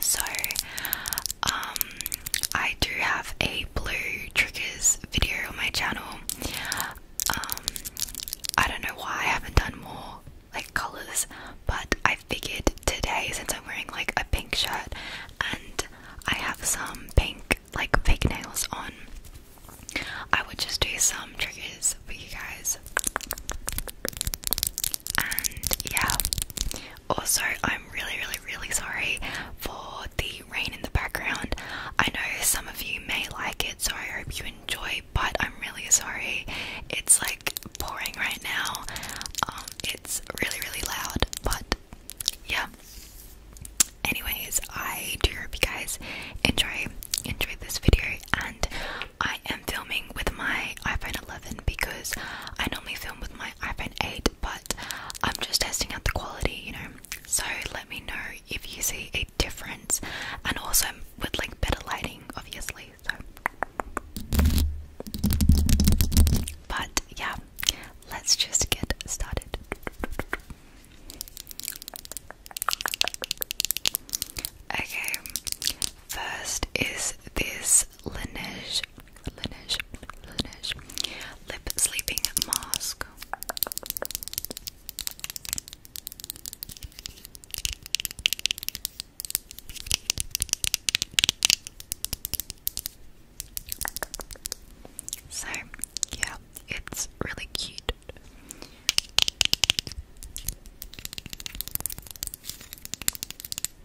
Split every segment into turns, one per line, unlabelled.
So, um, I do have a blue triggers video on my channel. Um, I don't know why I haven't done more like colors, but I figured today since I'm wearing like a pink shirt and I have some pink like fake nails on, I would just do some triggers for you guys yeah. Also, I'm really, really, really sorry for the rain in the background. I know some of you may like it, so I hope you enjoy, but I'm really sorry. It's like pouring right now. Um, it's really, really loud, but yeah. Anyways, I do hope you guys enjoy enjoyed this video and I am filming with my iPhone 11 because I normally film with my iPhone 8, but I'm just testing out the quality, you know. So let me know if you see a difference, and also with like better lighting, obviously. So, but yeah, let's just get started. Okay, first is this this Laneige, Laneige, Lip Sleeping Mask. So, yeah, it's really cute.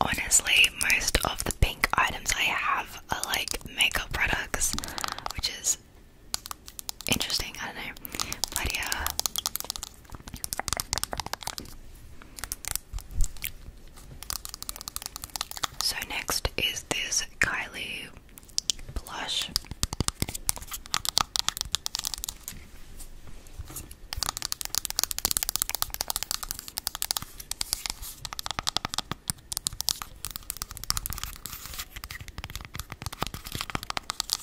Honestly, most of the pink items I have are like makeup products, which is interesting, I don't know. But yeah. So next is this Kylie blush.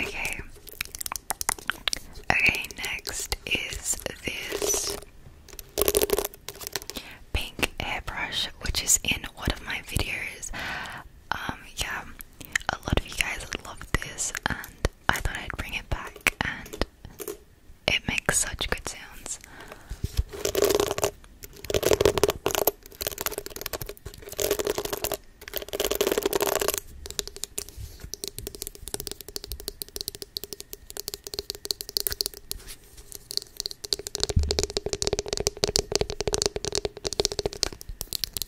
Okay. Okay, next is this pink airbrush, which is in one of my videos um yeah a lot of you guys loved this and I thought I'd bring it back and it makes such good sounds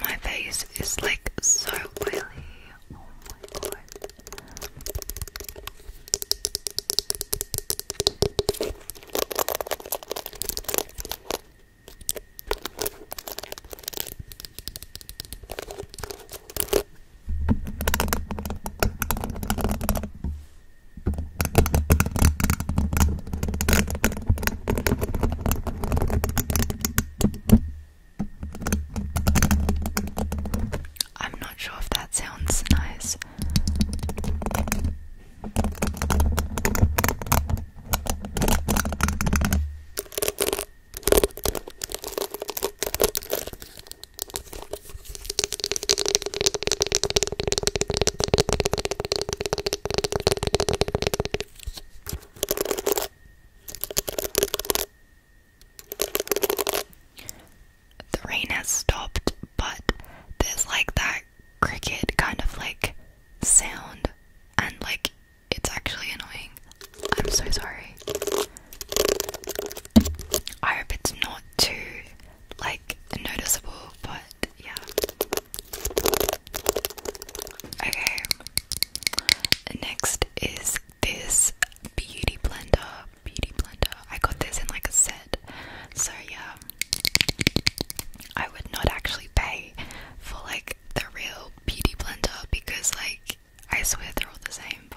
My face is like so oily. Oh my god. I'm not sure if that sounds nice. The rain has stopped, but there's like that cricket kind of like sound, and like it's actually annoying. I'm so sorry. I hope it's not too like noticeable, but yeah. Okay. Next is this beauty blender. Beauty blender. I got this in like a set. So yeah. I would not actually pay for like the real beauty blender because like I swear they're all the same, but.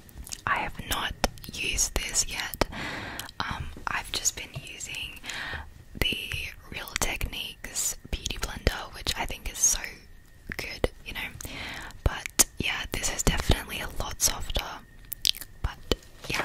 I have not used this yet. Um, I've just been using the Real Techniques Beauty Blender, which I think is so good, you know. But yeah, this is definitely a lot softer. But yeah.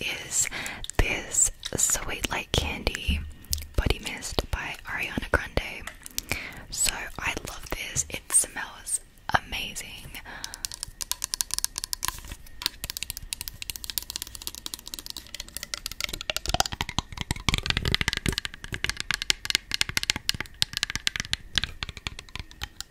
is this Sweet Like Candy Body Mist by Ariana Grande. So I love this, it smells amazing.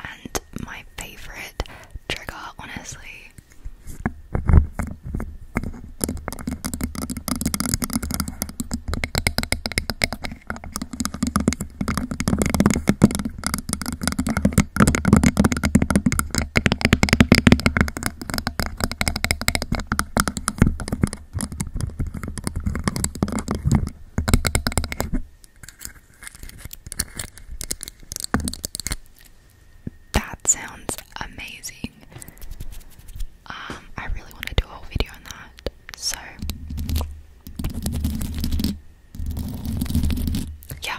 And my favorite trigger, honestly. That sounds amazing. Um, I really want to do a whole video on that. So, yeah.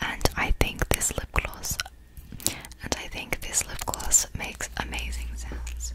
and I think this lip gloss and I think this lip gloss makes amazing sounds.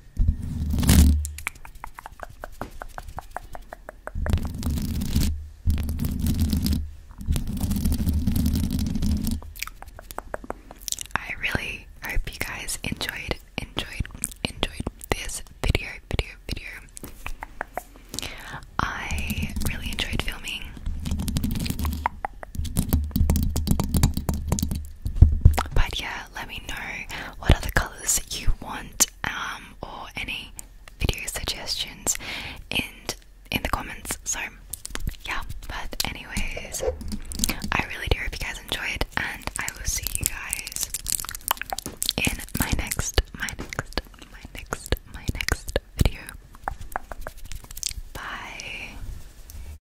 I really hope you guys enjoyed, enjoyed, enjoyed this video, video, video. I really enjoyed filming. But yeah, let me know what other colours you want um, or any video suggestions and in the comments. So yeah, but anyways, I really do hope you guys enjoyed and I will see you guys in my next, my next, my next, my next video. Bye.